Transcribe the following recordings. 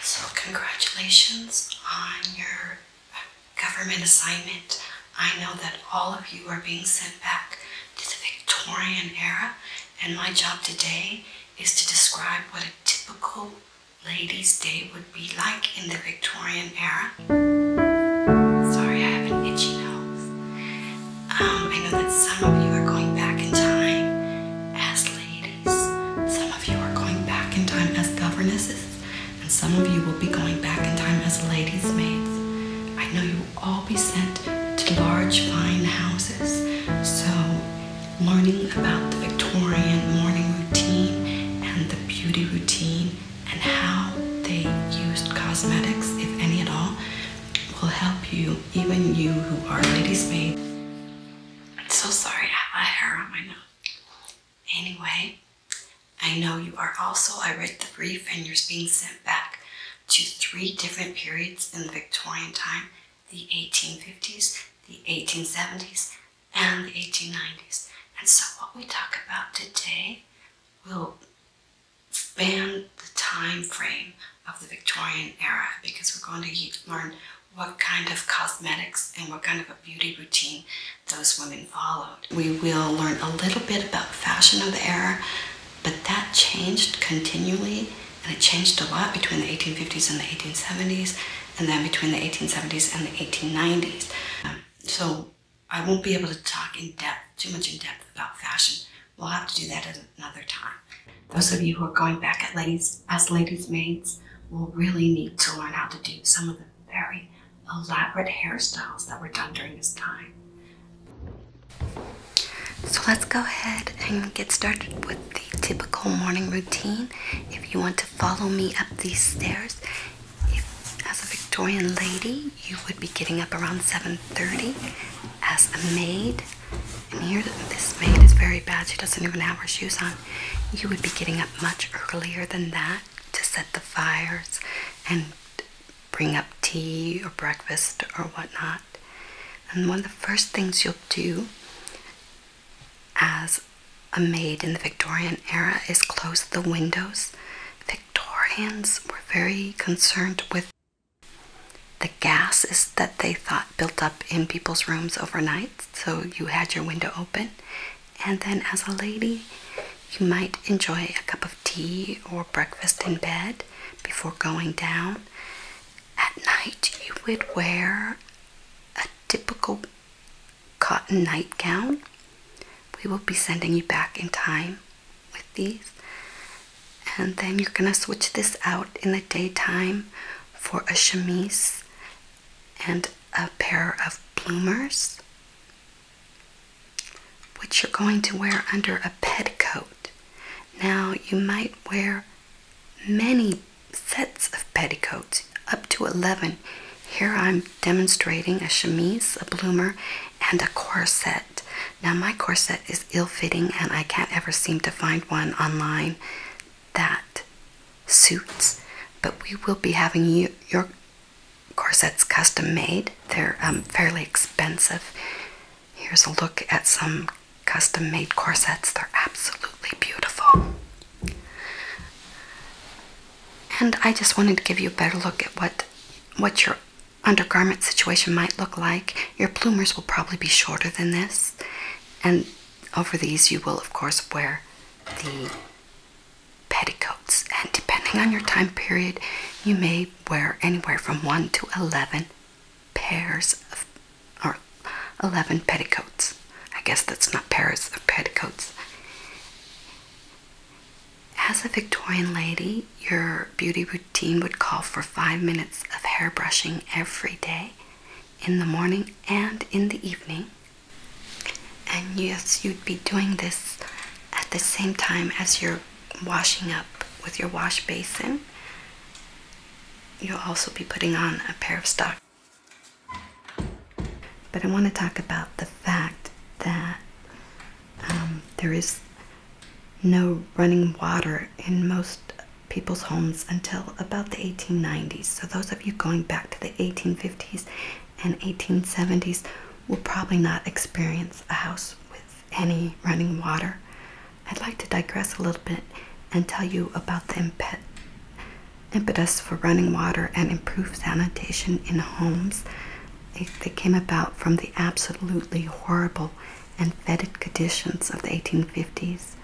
So congratulations on your government assignment. I know that all of you are being sent back to the Victorian era and my job today is to describe what a typical lady's day would be like in the Victorian era Sorry, I have an itchy nose. Um, I know that some of you are going back in time as ladies. Some of you are going back in time as governesses. And some of you will be going back in time as ladies' maids. I know you will all be sent to large, fine houses. So, learning about the Victorian morning routine and the beauty routine and how they used cosmetics, if any at all, will help you, even you who are ladies maid. I'm so sorry I have my hair on my nose. Anyway, I know you are also, I read the brief and you're being sent back to three different periods in the Victorian time, the 1850s, the 1870s, and the 1890s. And so what we talk about today will span the time frame of the Victorian era because we're going to learn what kind of cosmetics and what kind of a beauty routine those women followed. We will learn a little bit about fashion of the era, but that changed continually and it changed a lot between the 1850s and the 1870s and then between the 1870s and the 1890s. Um, so I won't be able to talk in depth, too much in depth about fashion. We'll have to do that at another time. Those of you who are going back at ladies, as ladies' maids will really need to learn how to do some of the very elaborate hairstyles that were done during this time. So let's go ahead and get started with the typical morning routine. If you want to follow me up these stairs, as a Victorian lady, you would be getting up around 7:30. As a maid, and here this maid is very bad. She doesn't even have her shoes on. You would be getting up much earlier than that to set the fires and bring up tea or breakfast or whatnot. And one of the first things you'll do as a maid in the Victorian era is close the windows. Victorians were very concerned with the gases that they thought built up in people's rooms overnight. So you had your window open, and then as a lady, you might enjoy a cup of tea or breakfast in bed before going down. At night, you would wear a typical cotton nightgown. We will be sending you back in time with these and then you're gonna switch this out in the daytime for a chemise and a pair of bloomers which you're going to wear under a petticoat now you might wear many sets of petticoats up to 11 here i'm demonstrating a chemise a bloomer and a corset now, my corset is ill fitting, and I can't ever seem to find one online that suits, but we will be having your corsets custom made. They're um, fairly expensive. Here's a look at some custom made corsets, they're absolutely beautiful. And I just wanted to give you a better look at what what your undergarment situation might look like. Your plumers will probably be shorter than this, and over these, you will, of course, wear the petticoats. And depending on your time period, you may wear anywhere from 1 to 11 pairs of, or 11 petticoats. I guess that's not pairs of petticoats. As a Victorian lady, your beauty routine would call for five minutes of hair brushing every day, in the morning and in the evening. And yes, you'd be doing this at the same time as you're washing up with your wash basin. You'll also be putting on a pair of stockings. But I want to talk about the fact that um, there is no running water in most people's homes until about the 1890s. So, those of you going back to the 1850s and 1870s will probably not experience a house with any running water. I'd like to digress a little bit and tell you about the impetus for running water and improved sanitation in homes they came about from the absolutely horrible and fetid conditions of the 1850s.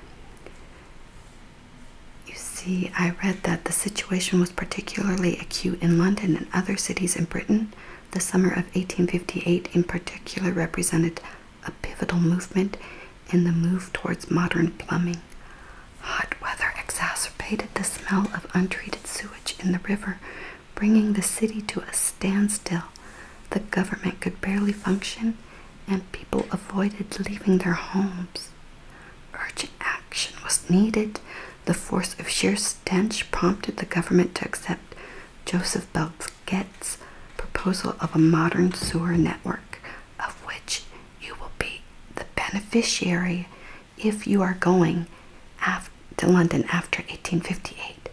You see, I read that the situation was particularly acute in London and other cities in Britain. The summer of 1858, in particular, represented a pivotal movement in the move towards modern plumbing. Hot weather exacerbated the smell of untreated sewage in the river, bringing the city to a standstill. The government could barely function, and people avoided leaving their homes. Urgent action was needed. The force of sheer stench prompted the government to accept Joseph Belzget's proposal of a modern sewer network, of which you will be the beneficiary if you are going to London after 1858.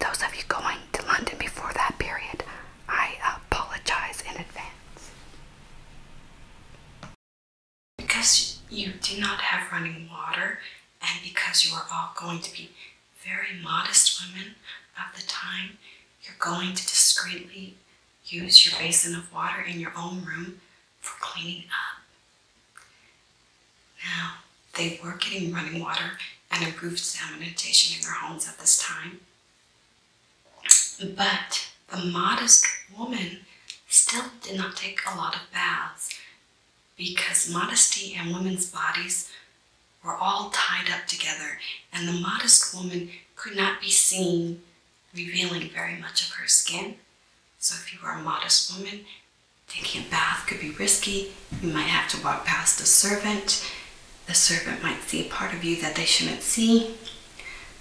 Those of you going to London before that period, I apologize in advance. Because you do not have running water, and because you are all going to be very modest women of the time, you're going to discreetly use your basin of water in your own room for cleaning up. Now, they were getting running water and improved sanitation in their homes at this time. But the modest woman still did not take a lot of baths because modesty and women's bodies were all tied up together, and the modest woman could not be seen revealing very much of her skin. So, if you were a modest woman Taking a bath could be risky. You might have to walk past a servant. The servant might see a part of you that they shouldn't see.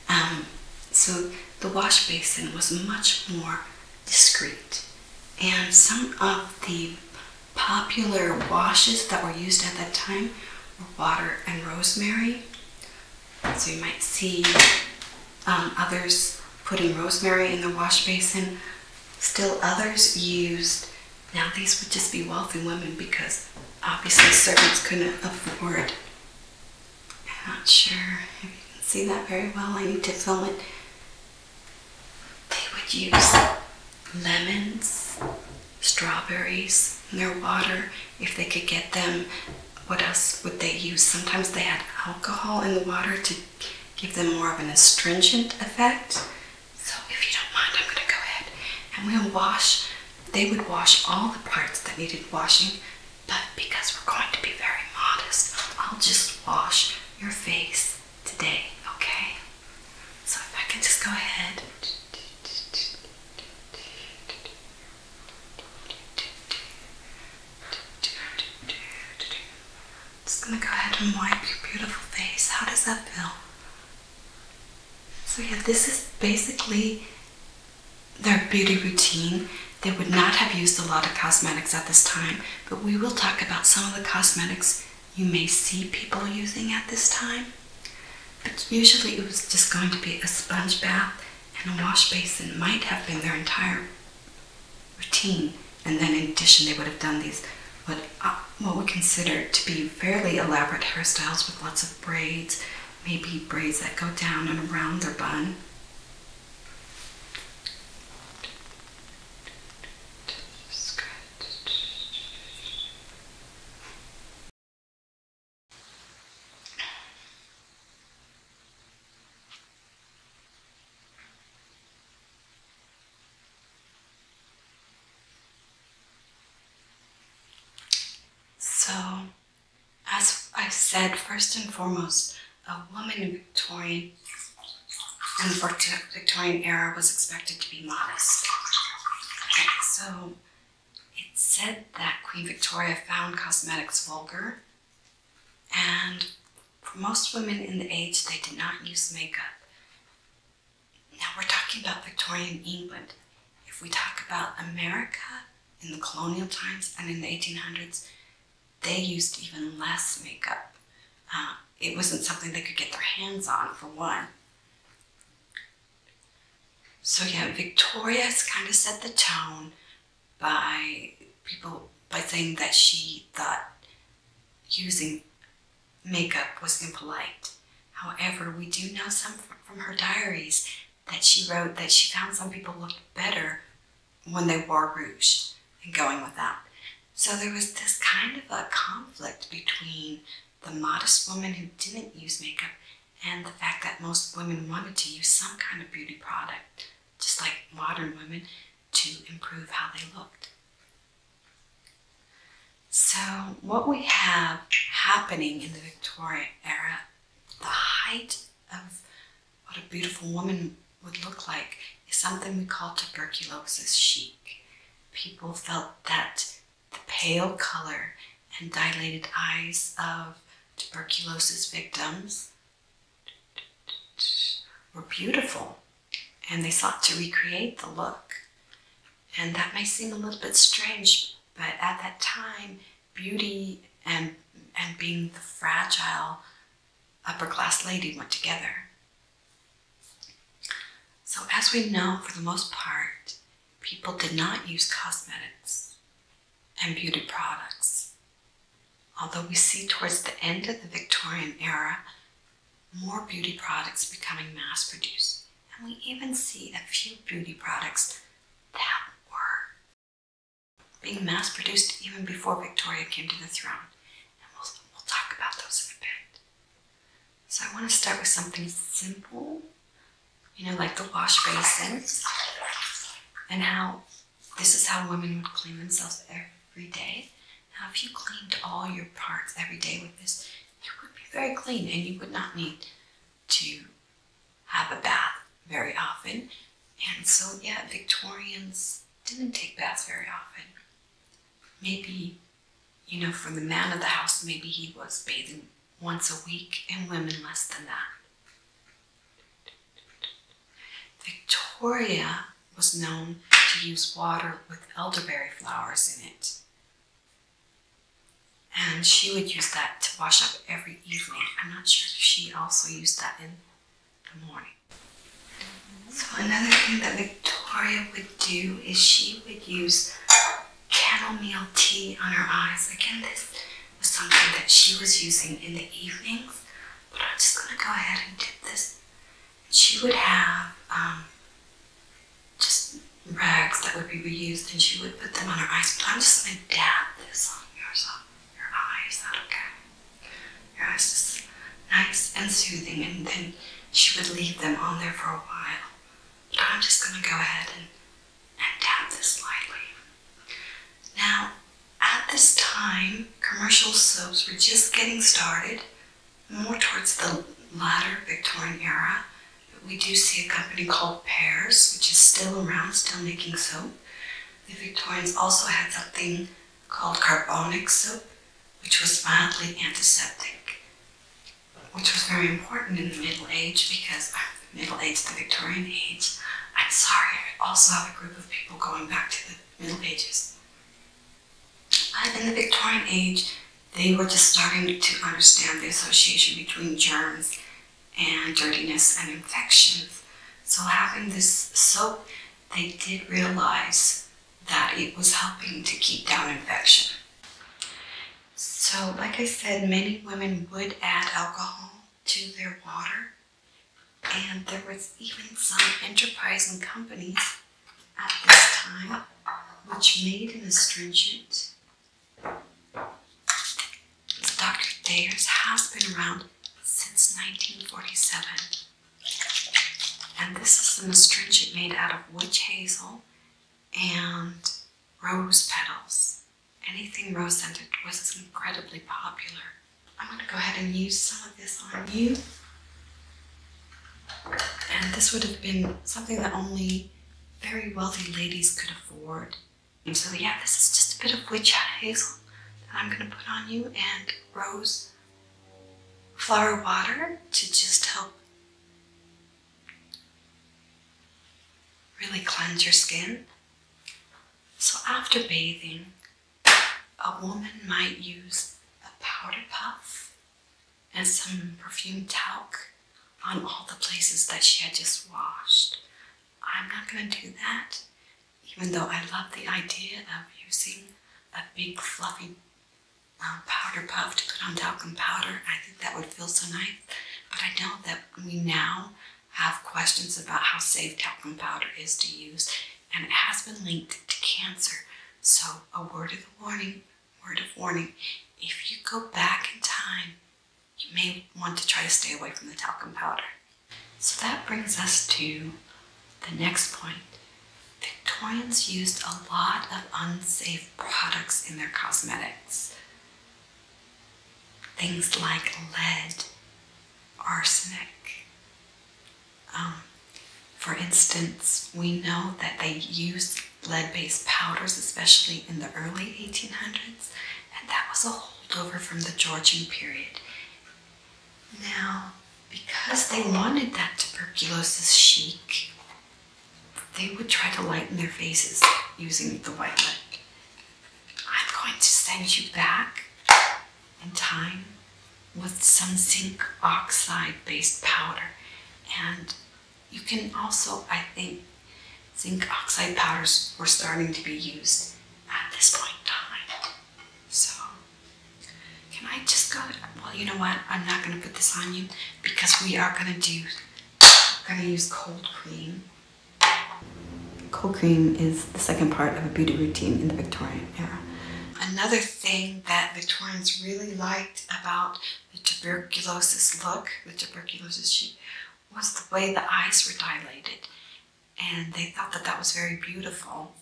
Um, so the wash basin was much more discreet. And some of the popular washes that were used at that time were water and rosemary. So you might see um, others putting rosemary in the wash basin. Still others used, now these would just be wealthy women because obviously servants couldn't afford. I'm not sure if you can see that very well. I need to film it. They would use lemons, strawberries in their water if they could get them. What else would they use? Sometimes they had alcohol in the water to give them more of an astringent effect. So if you don't mind, I'm going to go ahead and we'll wash. They would wash all the parts that needed washing, but because we're going to be very modest, I'll just wash your face today, okay? So if I can just go ahead. Just gonna go ahead and wipe your beautiful face. How does that feel? So yeah, this is basically their beauty routine. They would not have used a lot of cosmetics at this time, but we will talk about some of the cosmetics you may see people using at this time. But usually it was just going to be a sponge bath and a wash basin might have been their entire routine. And then in addition, they would have done these what uh, what we consider to be fairly elaborate hairstyles with lots of braids, maybe braids that go down and around their bun. So, as I said, first and foremost, a woman in Victorian and Victorian era was expected to be modest. So, it's said that Queen Victoria found cosmetics vulgar and for most women in the age, they did not use makeup. Now we're talking about Victorian England. If we talk about America in the colonial times and in the 1800s, they used even less makeup. Uh, it wasn't something they could get their hands on, for one. So yeah, Victoria's kind of set the tone by people by saying that she thought using makeup was impolite. However, we do know some from her diaries that she wrote that she found some people looked better when they wore rouge and going without. So there was this kind of a conflict between the modest woman who didn't use makeup and the fact that most women wanted to use some kind of beauty product, just like modern women to improve how they looked. So, what we have happening in the Victorian era, the height of what a beautiful woman would look like is something we call tuberculosis chic. People felt that the pale color and dilated eyes of tuberculosis victims were beautiful and they sought to recreate the look. And that may seem a little bit strange, but at that time, beauty and, and being the fragile upper class lady went together. So, as we know, for the most part, people did not use cosmetics and beauty products Although we see towards the end of the Victorian era more beauty products becoming mass produced, and we even see a few beauty products that were being mass produced even before Victoria came to the throne. And we'll, we'll talk about those in a bit. So I want to start with something simple, you know, like the wash and how this is how women would clean themselves every day. Now, if you cleaned all your parts every day with this, it would be very clean and you would not need to have a bath very often. And so, yeah, Victorians didn't take baths very often. Maybe, you know, for the man of the house, maybe he was bathing once a week and women less than that. Victoria was known to use water with elderberry flowers in it. And she would use that to wash up every evening. I'm not sure if she also used that in the morning. So another thing that Victoria would do is she would use chamomile tea on her eyes. Again, this was something that she was using in the evenings but I'm just going to go ahead and dip this. She would have um, just rags that would be reused and she would put them on her eyes, but I'm just going to dab this on yours, your eye. that okay? Your eyes just nice and soothing, and then she would leave them on there for a while. But I'm just going to go ahead and, and dab this lightly. Now, at this time, commercial soaps were just getting started, more towards the latter Victorian era. But we do see a company called Pears, which is still around, still making soap. The Victorians also had something called carbonic soap, which was mildly antiseptic, which was very important in the Middle Age because the uh, Middle Age, the Victorian age, I'm sorry, I also have a group of people going back to the Middle Ages. But in the Victorian age, they were just starting to understand the association between germs and dirtiness and infections. So having this soap, they did realize that it was helping to keep down infection. So like I said, many women would add alcohol to their water and there was even some enterprising companies at this time which made an astringent. Dr. Thayer's has been around since 1947. And this is an astringent made out of witch hazel and rose petals. Anything rose scented was incredibly popular I'm going to go ahead and use some of this on you. And this would have been something that only very wealthy ladies could afford. so yeah, this is just a bit of witch hazel that I'm going to put on you and rose flower water to just help really cleanse your skin. So after bathing, a woman might use a powder puff and some perfume talc on all the places that she had just washed. I'm not going to do that, even though I love the idea of using a big fluffy um, powder puff to put on talcum powder. I think that would feel so nice, but I know that we now have questions about how safe talcum powder is to use and it has been linked to cancer. So, a word of warning, word of warning, if you go back in time, you may want to try to stay away from the talcum powder. So that brings us to the next point. Victorians used a lot of unsafe products in their cosmetics. Things like lead, arsenic, um, for instance, we know that they used lead based powders, especially in the early 1800s, and that was a holdover from the Georgian period. Now, because they wanted that tuberculosis chic, they would try to lighten their faces using the white lead. I'm going to send you back and thyme with some zinc oxide based powder. And you can also, I think, zinc oxide powders were starting to be used at this point in time. So, can I just go? Well, you know what? I'm not going to put this on you because we are going to do, going to use cold cream. Cold cream is the second part of a beauty routine in the Victorian era. Another thing that Victorians really liked about the tuberculosis look, the tuberculosis she, was the way the eyes were dilated. And they thought that that was very beautiful.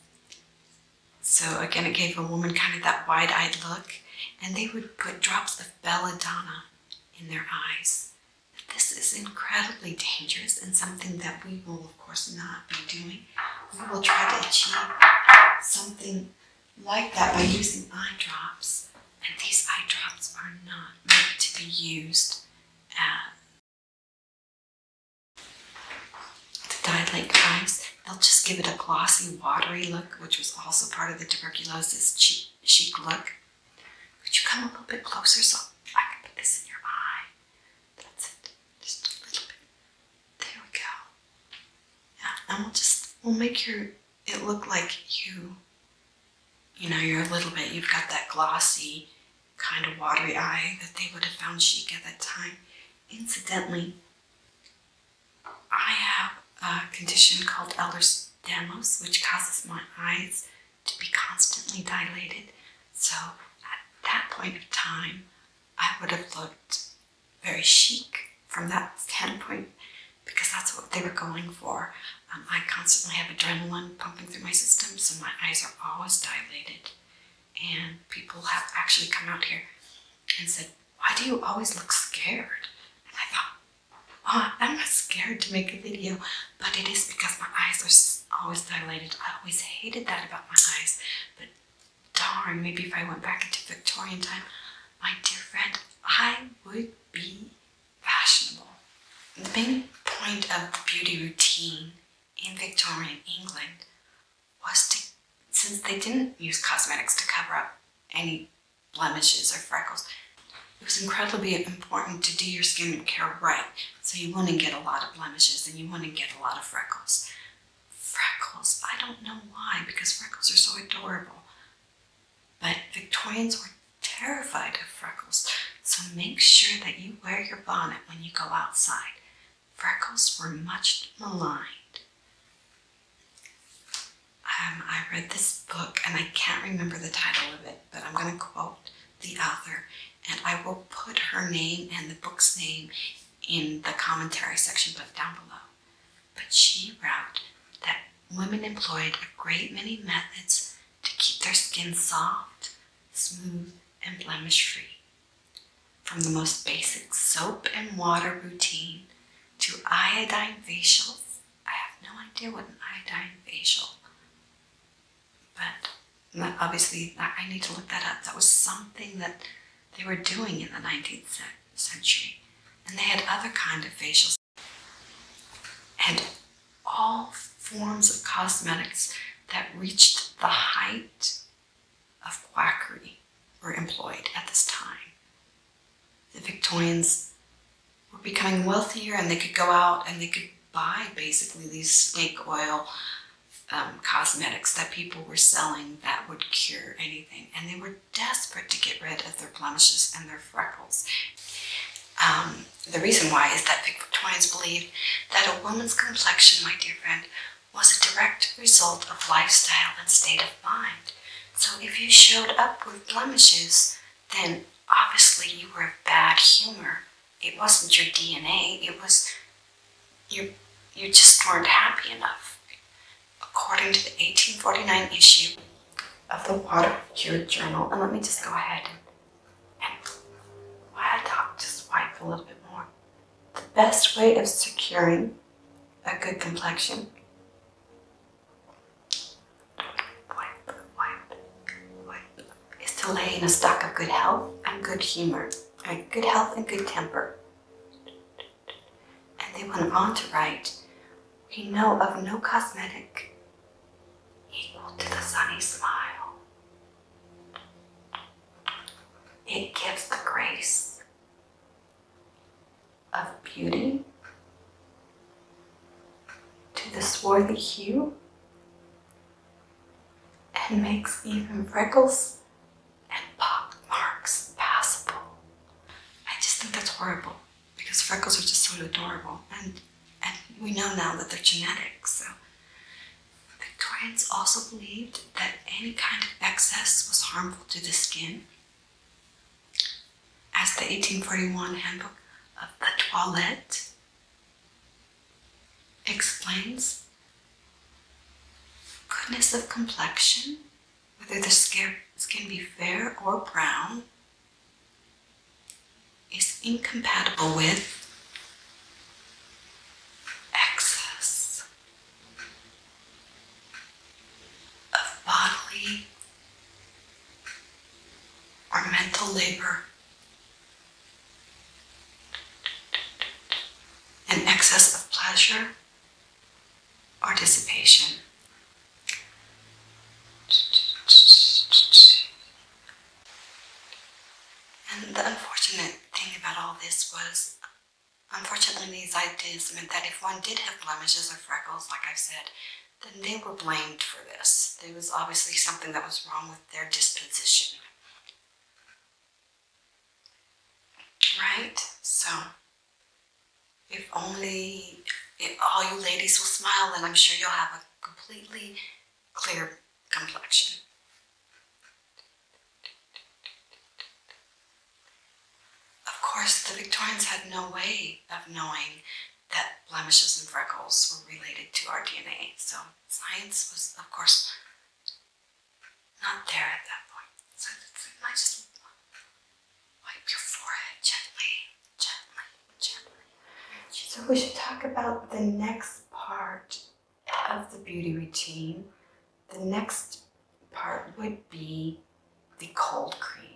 So again, it gave a woman kind of that wide-eyed look. And they would put drops of belladonna in their eyes. This is incredibly dangerous and something that we will of course, not be doing. We will try to achieve something like that by using eye drops, and these eye drops are not meant to be used uh, to dilate eyes. They'll just give it a glossy, watery look, which was also part of the tuberculosis chic, chic look. Could you come a little bit closer so I can put this in your eye? That's it. Just a little bit. There we go. Yeah, and we'll just we'll make your it look like you you know, you're a little bit you've got that glossy kind of watery eye that they would have found chic at that time. Incidentally, I have a condition called Ehlers-Danlos, which causes my eyes to be constantly dilated. So at that point in time, I would have looked very chic from that standpoint because that's what they were going for. Um, I constantly have adrenaline pumping through my system, so my eyes are always dilated. And people have actually come out here and said, Why do you always look scared? And I thought, I'm not scared to make a video, but it is because my eyes are always dilated. I always hated that about my eyes. But darn, maybe if I went back into Victorian time, my dear friend, I would be fashionable. The main point of the beauty routine in Victorian England was to, since they didn't use cosmetics to cover up any blemishes or freckles, it was incredibly important to do your skincare right. So you want to get a lot of blemishes and you want to get a lot of freckles. Freckles, I don't know why, because freckles are so adorable. But Victorians were terrified of freckles. So make sure that you wear your bonnet when you go outside. Freckles were much maligned. Um, I read this book and I can't remember the title of it, but I'm going to quote the author and I will put her name and the book's name in the commentary section but down below. But she wrote that women employed a great many methods to keep their skin soft, smooth, and blemish free. From the most basic soap and water routine to iodine facials. I have no idea what an iodine facial but obviously, I need to look that up. That was something that they were doing in the 19th century. And they had other kind of facials. And all forms of cosmetics that reached the height of quackery were employed at this time. The Victorians were becoming wealthier and they could go out and they could buy basically these snake oil um, cosmetics that people were selling that would cure anything. And they were desperate to get rid of their blemishes and their freckles. Um, the reason why is that Victorians believed that a woman's complexion, my dear friend, was a direct result of lifestyle and state of mind. So if you showed up with blemishes, then obviously you were of bad humor it wasn't your DNA, it was you, you just weren't happy enough. According to the 1849 issue of the Water Cure Journal, and let me just go ahead and, and top, just wipe a little bit more. The best way of securing a good complexion is to lay in a stock of good health and good humor right, good health and good temper. And they went on to write, we know of no cosmetic equal to the sunny smile. It gives the grace of beauty to the swarthy hue and makes even freckles and pock marks passable. I just think that's horrible because freckles are just so adorable and and we know now that they're genetic, so the Victorians also believed that any kind of excess was harmful to the skin. As the 1841 handbook of the Toilet explains goodness of complexion, whether the skin be fair or brown, is incompatible with excess of bodily or mental labor an excess of pleasure or dissipation. And the unfortunate thing about all this was, unfortunately, these ideas meant that if one did have blemishes or freckles, like i said, then they were blamed for this. There was obviously something that was wrong with their disposition. Right? So, if only if all you ladies will smile, then I'm sure you'll have a completely clear complexion. Of course, the Victorians had no way of knowing that blemishes and freckles were related to our DNA, so science was, of course, not there at that point. So you might just wipe your forehead gently, gently, gently. So we should talk about the next part of the beauty routine. The next part would be the cold cream.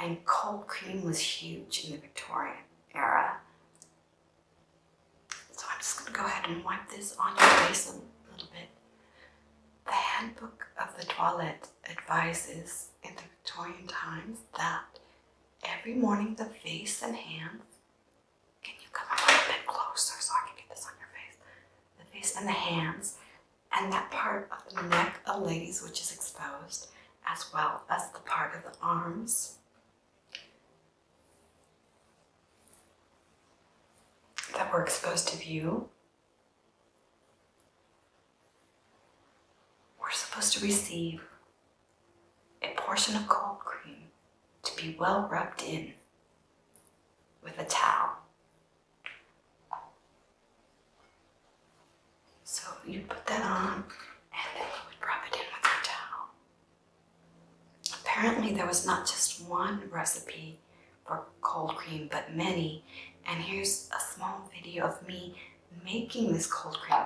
And cold cream was huge in the Victorian era. So I'm just going to go ahead and wipe this on your face a little bit. The handbook of the toilet advises in the Victorian times that every morning the face and hands, can you come a little bit closer so I can get this on your face? The face and the hands and that part of the neck of ladies which is exposed as well as the part of the arms that we're exposed to view. We're supposed to receive a portion of cold cream to be well rubbed in with a towel. So you put that on and then you would rub it in with your towel. Apparently, there was not just one recipe for cold cream, but many. And here's a small video of me making this cold cream.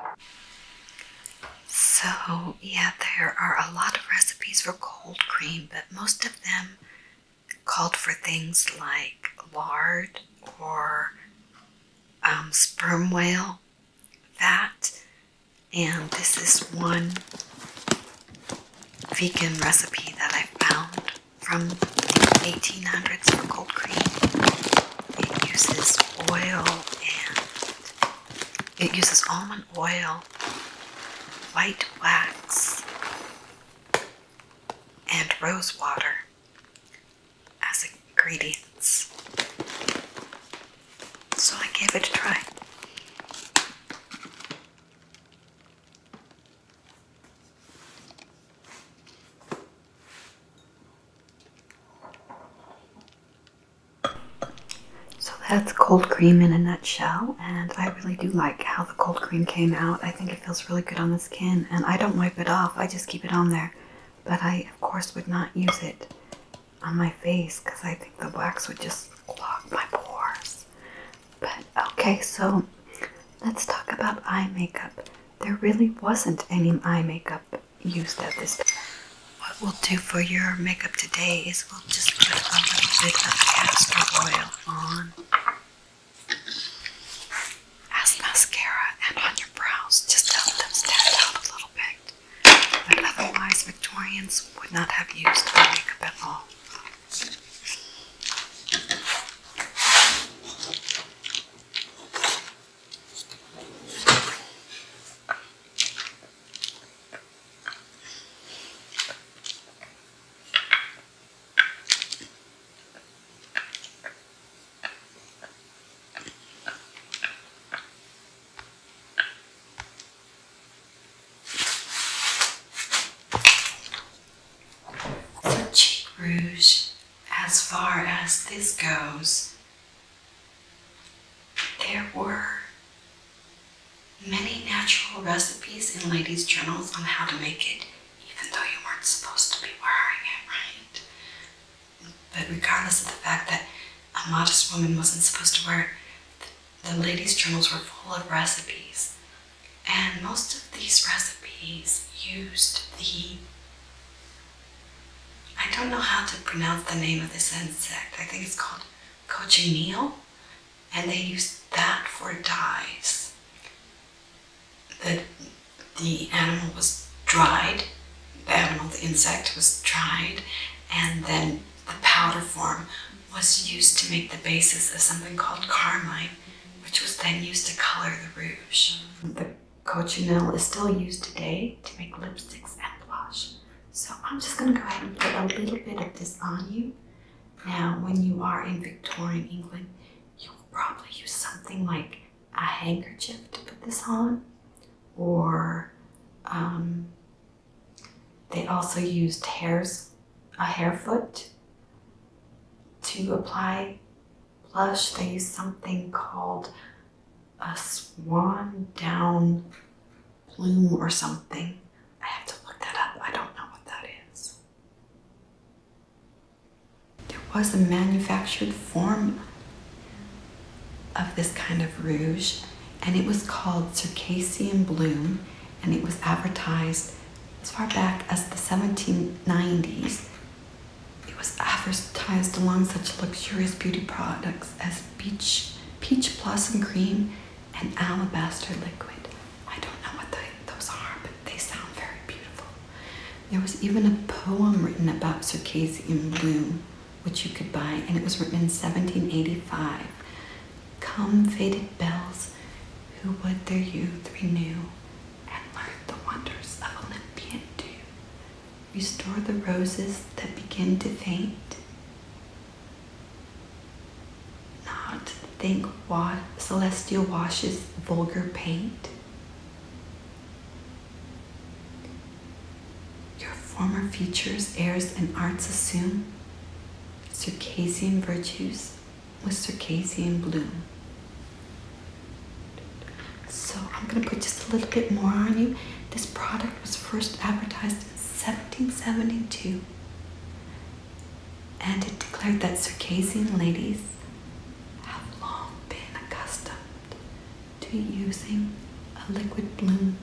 So, yeah, there are a lot of recipes for cold cream, but most of them called for things like lard or um, sperm whale that. And this is one vegan recipe that I found from the 1800s for cold cream. It uses oil and it uses almond oil, white wax, and rose water as ingredients so I gave it a try. So that's cold cream in a nutshell, and I really do like how the cold cream came out. I think it feels really good on the skin, and I don't wipe it off, I just keep it on there. But I, of course, would not use it on my face because I think the wax would just clog my pores. But okay, so let's talk about eye makeup. There really wasn't any eye makeup used at this time. What we'll do for your makeup today is we'll just put a little bit of castor oil on as mascara and on your brows just help them stand out a little bit that otherwise Victorians would not have used makeup at all. So rouge, as far as this goes, there were many natural recipes in ladies' journals on how to make it, even though you weren't supposed to be wearing it, right? But regardless of the fact that a modest woman wasn't supposed to wear. it. the ladies' journals were full of recipes, and most of these recipes used the. I don't know how to pronounce the name of this insect. I think it's called cochineal, and they used that for dyes. The, the animal was dried, the animal, the insect was dried, and then the powder form was used to make the basis of something called carmine, which was then used to color the rouge. The cochineal is still used today to make lipsticks and blush. So I'm just going to go ahead and put a little bit of this on you. Now, when you are in Victorian England, you will probably use something like a handkerchief to put this on or um, they also used hairs, a hair foot to apply blush. They used something called a swan down plume or something. I have to look that up. I don't know what that is. There was a manufactured form of this kind of rouge, and it was called Circassian Bloom, and it was advertised as far back as the 1790s. It was advertised along such luxurious beauty products as peach, peach blossom cream and alabaster liquid. I don't know what those are, but they sound very beautiful. There was even a poem written about Circassian Bloom which you could buy, and it was written in 1785. Come, faded bells, who would their youth renew, and learn the wonders of Olympian dew. Restore the roses that begin to faint. Not think wa celestial washes vulgar paint. Your former features, airs, and arts assume Circassian virtues with Circassian bloom. So I'm gonna put just a little bit more on you. This product was first advertised in 1772 and it declared that Circassian ladies have long been accustomed to using a liquid bloom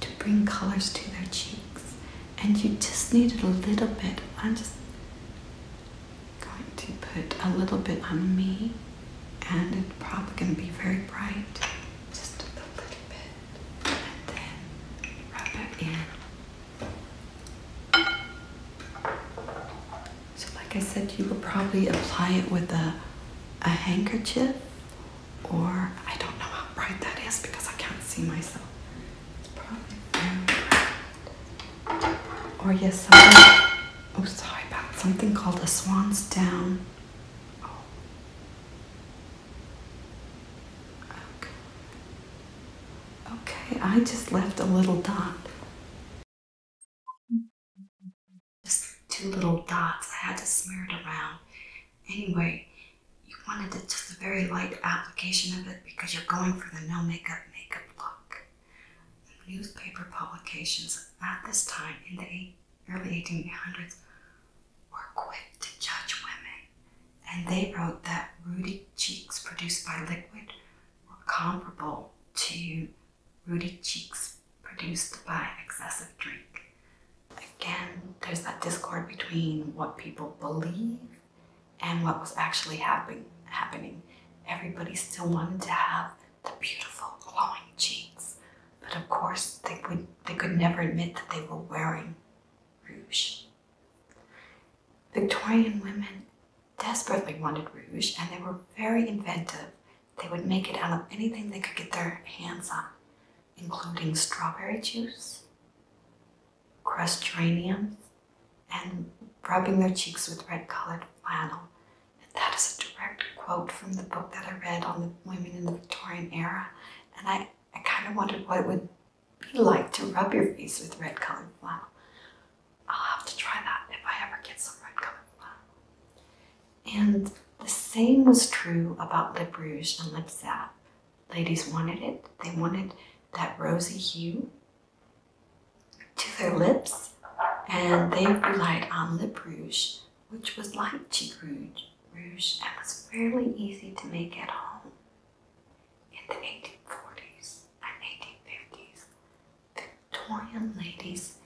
to bring colors to their cheeks, and you just need it a little bit. I'm just going to put a little bit on me, and it's probably going to be very bright. Just a little bit, and then rub it in. So, like I said, you will probably apply it with a a handkerchief or I don't know how bright that is because I can't see myself. It's probably very Or yes, something. Oh, sorry about something called a swan's down. Oh. okay, I just left a little dot just two little dots. I had to smear it around. Anyway, you wanted it just a very light application of it because you're going for the no makeup makeup look. Newspaper publications at this time in the early 1800s were quick to judge women, and they wrote that rosy cheeks produced by liquid were comparable to rosy cheeks produced by excessive drink. Again, there's that discord between what people believe and what was actually happen happening. Everybody still wanted to have the beautiful glowing cheeks, but of course they would they could never admit that they were wearing rouge. Victorian women desperately wanted rouge and they were very inventive. They would make it out of anything they could get their hands on including strawberry juice, crushed geraniums, and rubbing their cheeks with red colored flannel. that is a direct quote from the book that I read on the women in the Victorian era. And I, I kind of wondered what it would be like to rub your face with red colored flannel. I'll have to try that if I ever get some red colored flannel. And the same was true about Lip Rouge and Lip Zap. Ladies wanted it, they wanted that rosy hue to their lips, and they relied on Lip Rouge, which was like Cheek Rouge, rouge and was fairly easy to make at home. In the 1840s and 1850s, Victorian ladies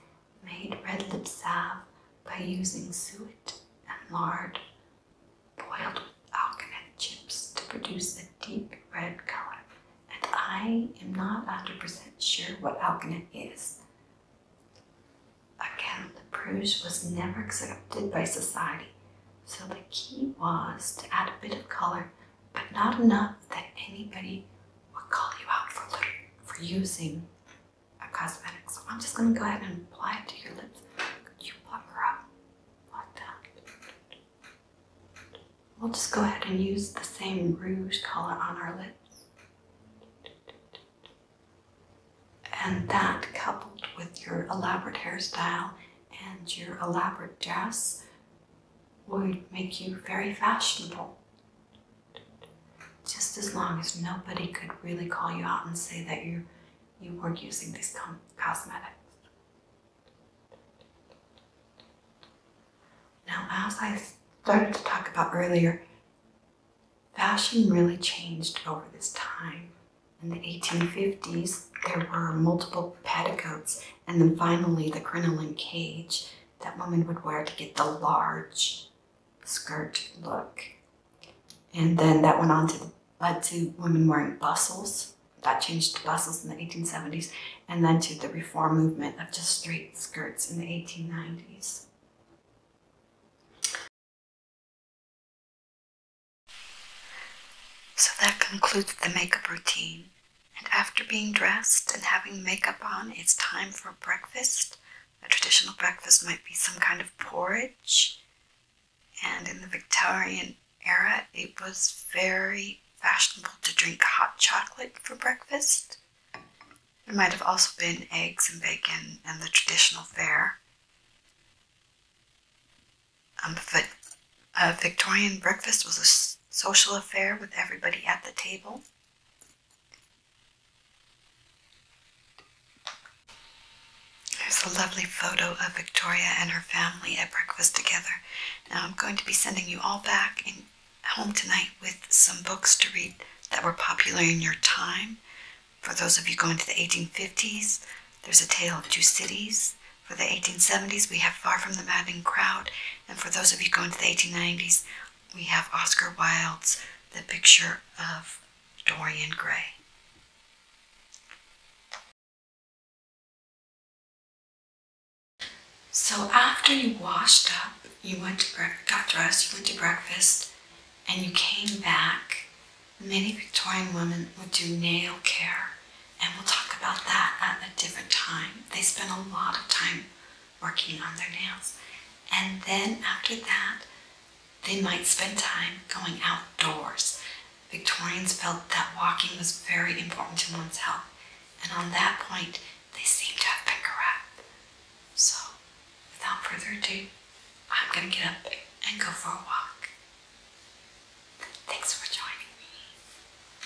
made red lip salve by using suet and lard boiled with alkanet chips to produce a deep red color. And I am not 100% sure what alkanet is. Again, the Bruges was never accepted by society, so the key was to add a bit of color, but not enough that anybody would call you out for using a cosmetic, so I'm just gonna go ahead and apply it to your lips. Could you pluck her up like that? We'll just go ahead and use the same rouge color on our lips. And that coupled with your elaborate hairstyle and your elaborate dress would make you very fashionable. Just as long as nobody could really call you out and say that you you were using these cosmetics. Now, as I started to talk about earlier, fashion really changed over this time. In the 1850s, there were multiple petticoats, and then finally the crinoline cage that women would wear to get the large skirt look. And then that went on to led to women wearing bustles. That changed to bustles in the 1870s, and then to the reform movement of just straight skirts in the 1890s. So that concludes the makeup routine. And after being dressed and having makeup on, it's time for breakfast. A traditional breakfast might be some kind of porridge, and in the Victorian era, it was very fashionable to drink hot chocolate for breakfast. It might have also been eggs and bacon and the traditional fare. Um, but a Victorian breakfast was a social affair with everybody at the table. There's a lovely photo of Victoria and her family at breakfast together. Now I'm going to be sending you all back in, home tonight with some books to read that were popular in your time. For those of you going to the 1850s, there's A Tale of Two Cities. For the 1870s, we have Far From the Madding Crowd. And for those of you going to the 1890s, we have Oscar Wilde's The Picture of Dorian Gray. So after you washed up, you went to breakfast, got dressed, you went to breakfast, and you came back. Many Victorian women would do nail care, and we'll talk about that at a different time. They spend a lot of time working on their nails. And then after that, they might spend time going outdoors. Victorians felt that walking was very important to one's health, and on that point, they seem to have been correct. So, without further ado, I'm going to get up and go for a walk. Thanks for joining me.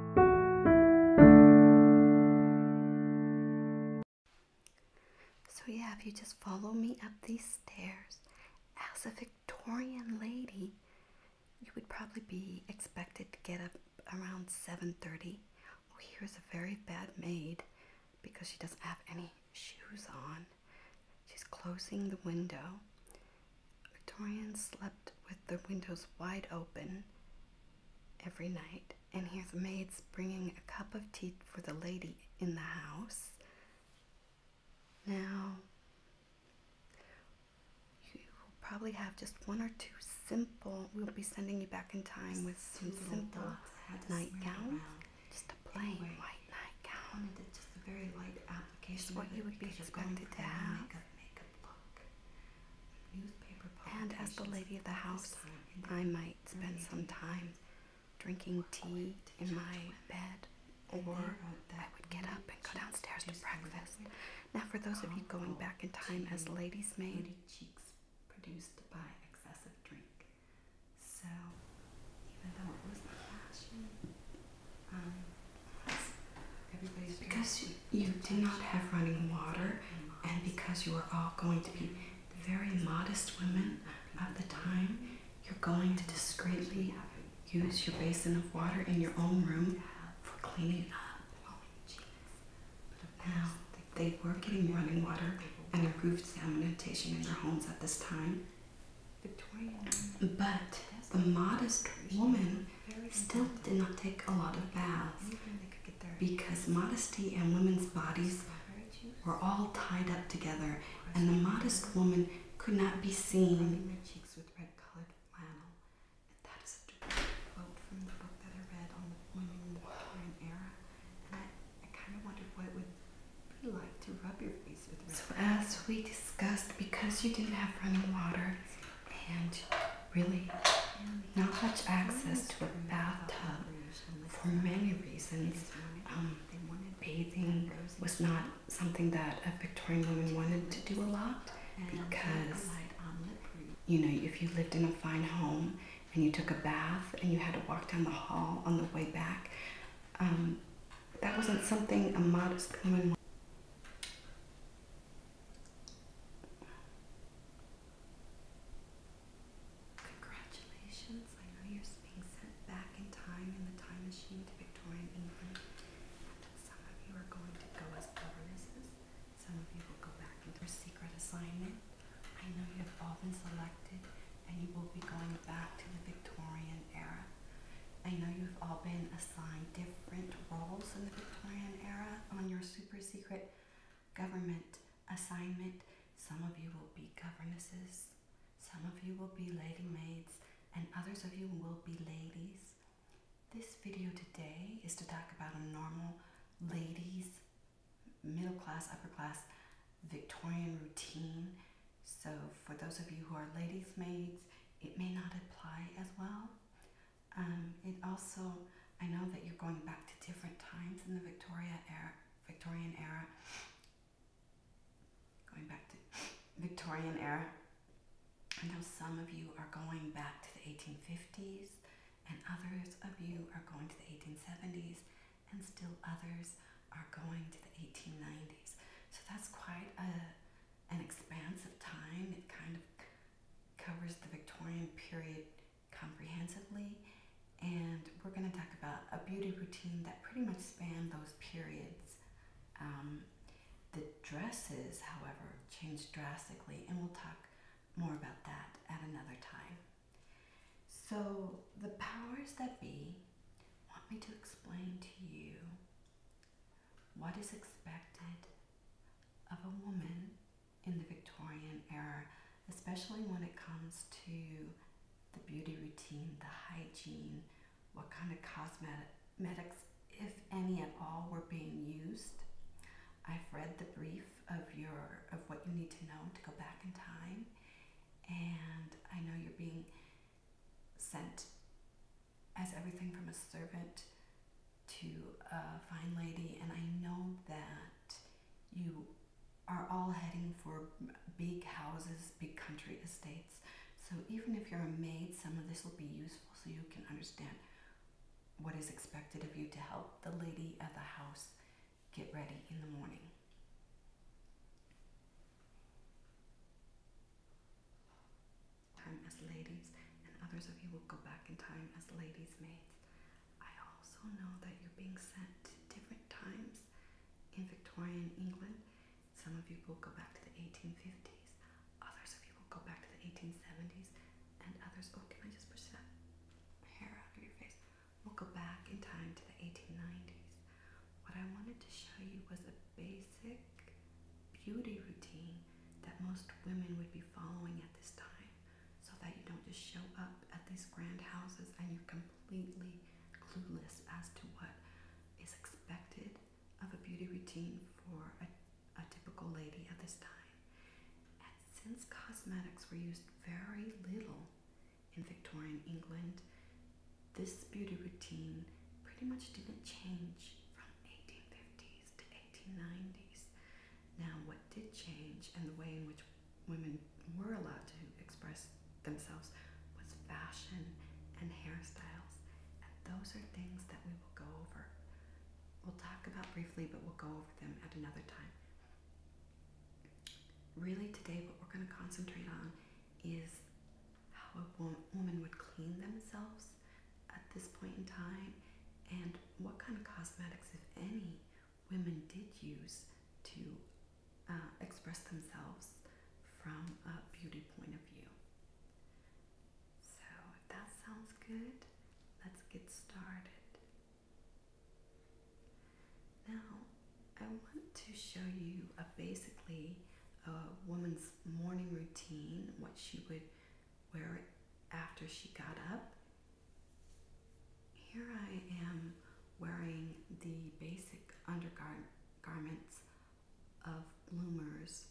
So, yeah, if you just follow me up these stairs as a Victorian lady, you would probably be expected to get up around 7.30. Oh, here's a very bad maid because she doesn't have any shoes on. She's closing the window Victorians slept with their windows wide open every night, and the maids bringing a cup of tea for the lady in the house. Now, you probably have just one or two simple, we'll be sending you back in time with some simple nightgowns, just a plain white nightgown. and Just a very light application. Just what you would be expected to have and as the lady of the house, I might spend some time drinking tea in my bed, or I would get up and go downstairs to breakfast. Now, for those of you going back in time as ladies' maid, cheeks produced by excessive drink. So, even though it was not fashion, um, because you did not have running water, and because you were all going to be very modest women at the time, you're going to discreetly use your basin of water in your own room for cleaning up. Now, they were getting running water and improved sanitation in their homes at this time. But the modest woman still did not take a lot of baths because modesty and women's bodies were all tied up together, and the modest woman could not be seen. Cheeks That is a quote from the book that I read on the women in the Victorian era, and I, kind of wondered what would be like to rub your face so, as we discussed, because you didn't have running water and really not much access to a bathtub for many reasons. Um, bathing was not something that a Victorian woman wanted to do a lot because, you know, if you lived in a fine home and you took a bath and you had to walk down the hall on the way back, um, that wasn't something a modest woman Congratulations. I know you're being sent back in time in the time machine to Victorian England. Some of you are going to go as governesses. Some of you will go back into your secret assignment. I know you have all been selected and you will be going back to the Victorian era. I know you've all been assigned different roles in the Victorian era on your super secret government assignment. Some of you will be governesses, some of you will be lady maids, and others of you will be ladies. This video today is to talk about a normal ladies, middle class, upper class Victorian routine. So, for those of you who are ladies' maids, it may not apply as well. Um, it also, I know that you're going back to different times in the Victoria era, Victorian era. Going back to Victorian era. I know some of you are going back to the 1850s, and others of you are going to the 1870s, and still others are going to the 1890s. So that's quite a an expanse of time. It kind of covers the Victorian period comprehensively, and we're going to talk about a beauty routine that pretty much spanned those periods. Um, the dresses, however, changed drastically, and we'll talk more about that at another time. So, the powers that be want me to explain to you what is expected of a woman in the Victorian era, especially when it comes to the beauty routine, the hygiene, what kind of cosmetics, if any at all, were being used. I've read the brief of your of what you need to know to go back in time, and I know you're being sent as everything from a servant to a fine lady, and I know that you are all heading for big houses, big country estates. So even if you're a maid, some of this will be useful so you can understand what is expected of you to help the lady of the house get ready in the morning time as ladies, and others of you will go back in time as ladies' maids. I also know that you're being sent to different times in Victorian England. Some of you will go back to the 1850s, others of you will go back to the 1870s, and others, oh, can I just push that hair out of your face? will go back in time to the 1890s. What I wanted to show you was a basic beauty routine that most women would be following at this time so that you don't just show up at these grand houses and you're completely clueless as to what is expected of a beauty routine for a, a typical lady at this time. And since cosmetics were used very little in Victorian England, this beauty routine pretty much didn't change from 1850 to 1890s. Now, what did change and the way in which women were allowed to express themselves was fashion and hairstyles, and those are things that we will go over. We'll talk about briefly, but we'll go over them at another time. Really, today, what we're going to concentrate on is how a woman would clean themselves at this point in time and what kind of cosmetics, if any, women did use to uh, express themselves from a beauty point of view. So, if that sounds good, let's get started. Now, I want to show you a basically a woman's morning routine, what she would where after she got up, here I am wearing the basic garments of bloomers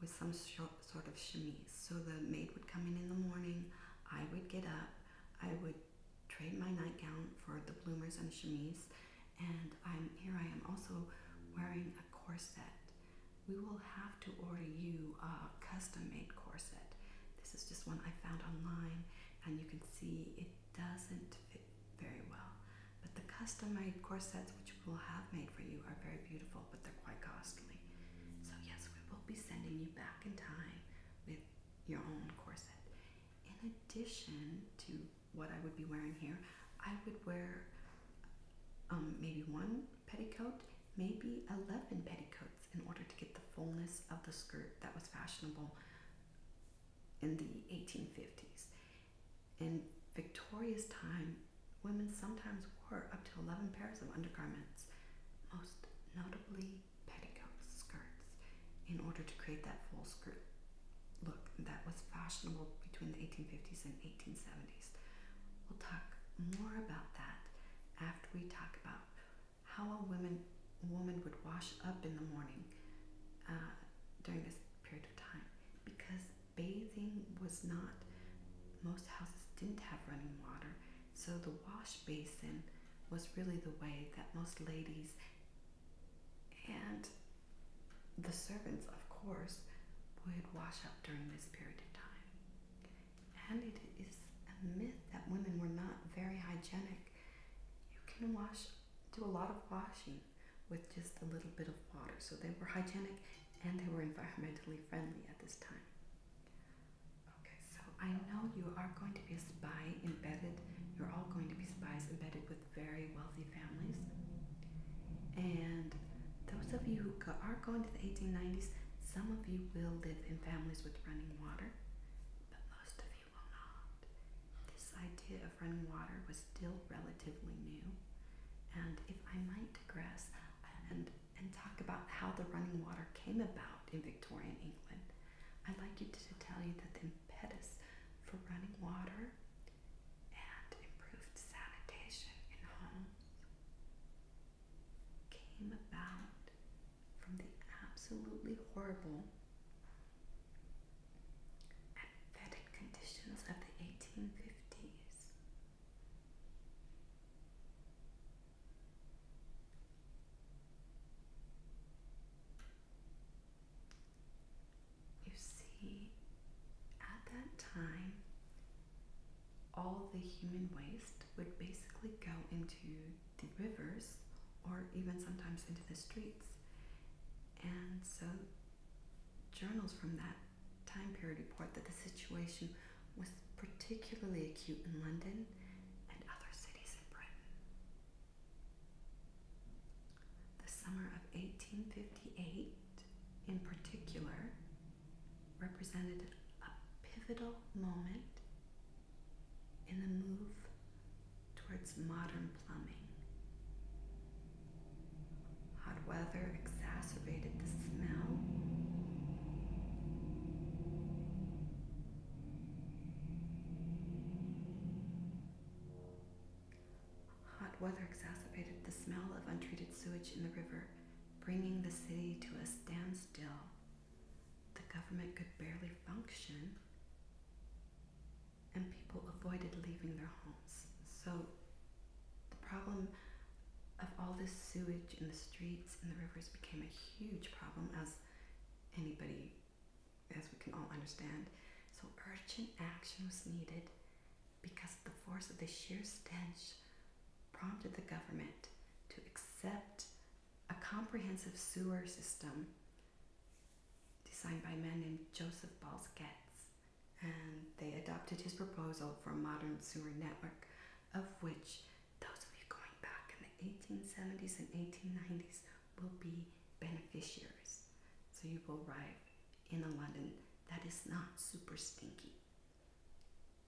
with some sort of chemise. So the maid would come in in the morning, I would get up, I would trade my nightgown for the bloomers and chemise, and I'm here I am also wearing a corset we will have to order you a custom-made corset. This is just one I found online, and you can see it doesn't fit very well. But the custom-made corsets which we'll have made for you are very beautiful, but they're quite costly. So yes, we will be sending you back in time with your own corset. In addition to what I would be wearing here, I would wear um, maybe one petticoat maybe 11 petticoats in order to get the fullness of the skirt that was fashionable in the 1850s. In Victoria's time, women sometimes wore up to 11 pairs of undergarments, most notably petticoats, skirts, in order to create that full skirt look that was fashionable between the 1850s and 1870s. We'll talk more about that after we talk about how a woman woman would wash up in the morning uh, during this period of time because bathing was not most houses didn't have running water so the wash basin was really the way that most ladies and the servants of course would wash up during this period of time and it is a myth that women were not very hygienic. You can wash, do a lot of washing with just a little bit of water. So they were hygienic and they were environmentally friendly at this time. Okay, so I know you are going to be a spy embedded, you're all going to be spies embedded with very wealthy families. And those of you who are going to the 1890s, some of you will live in families with running water, but most of you will not. This idea of running water was still relatively new. And if I might digress uh, and, and talk about how the running water came about in Victorian England, I'd like you to tell you that the impetus for running water and improved sanitation in homes came about from the absolutely horrible fetid conditions of the 1850s. You see, at that time, all the human waste would basically go into the rivers or even sometimes into the streets. And so, journals from that time period report that the situation was particularly acute in London and other cities in Britain. The summer of 1858, in particular, represented a pivotal moment in the move towards modern plumbing. Hot weather exacerbated the smell. Hot weather exacerbated the smell of untreated sewage in the river bringing the city to a standstill. The government could barely function, and people avoided leaving their homes. So, the problem of all this sewage in the streets and the rivers became a huge problem, as anybody, as we can all understand. So, urgent action was needed because the force of the sheer stench prompted the government to accept a comprehensive sewer system designed by a man named Joseph Balls Getz. And they adopted his proposal for a modern sewer network, of which those of you going back in the 1870s and 1890s will be beneficiaries. So you will arrive in a London that is not super stinky.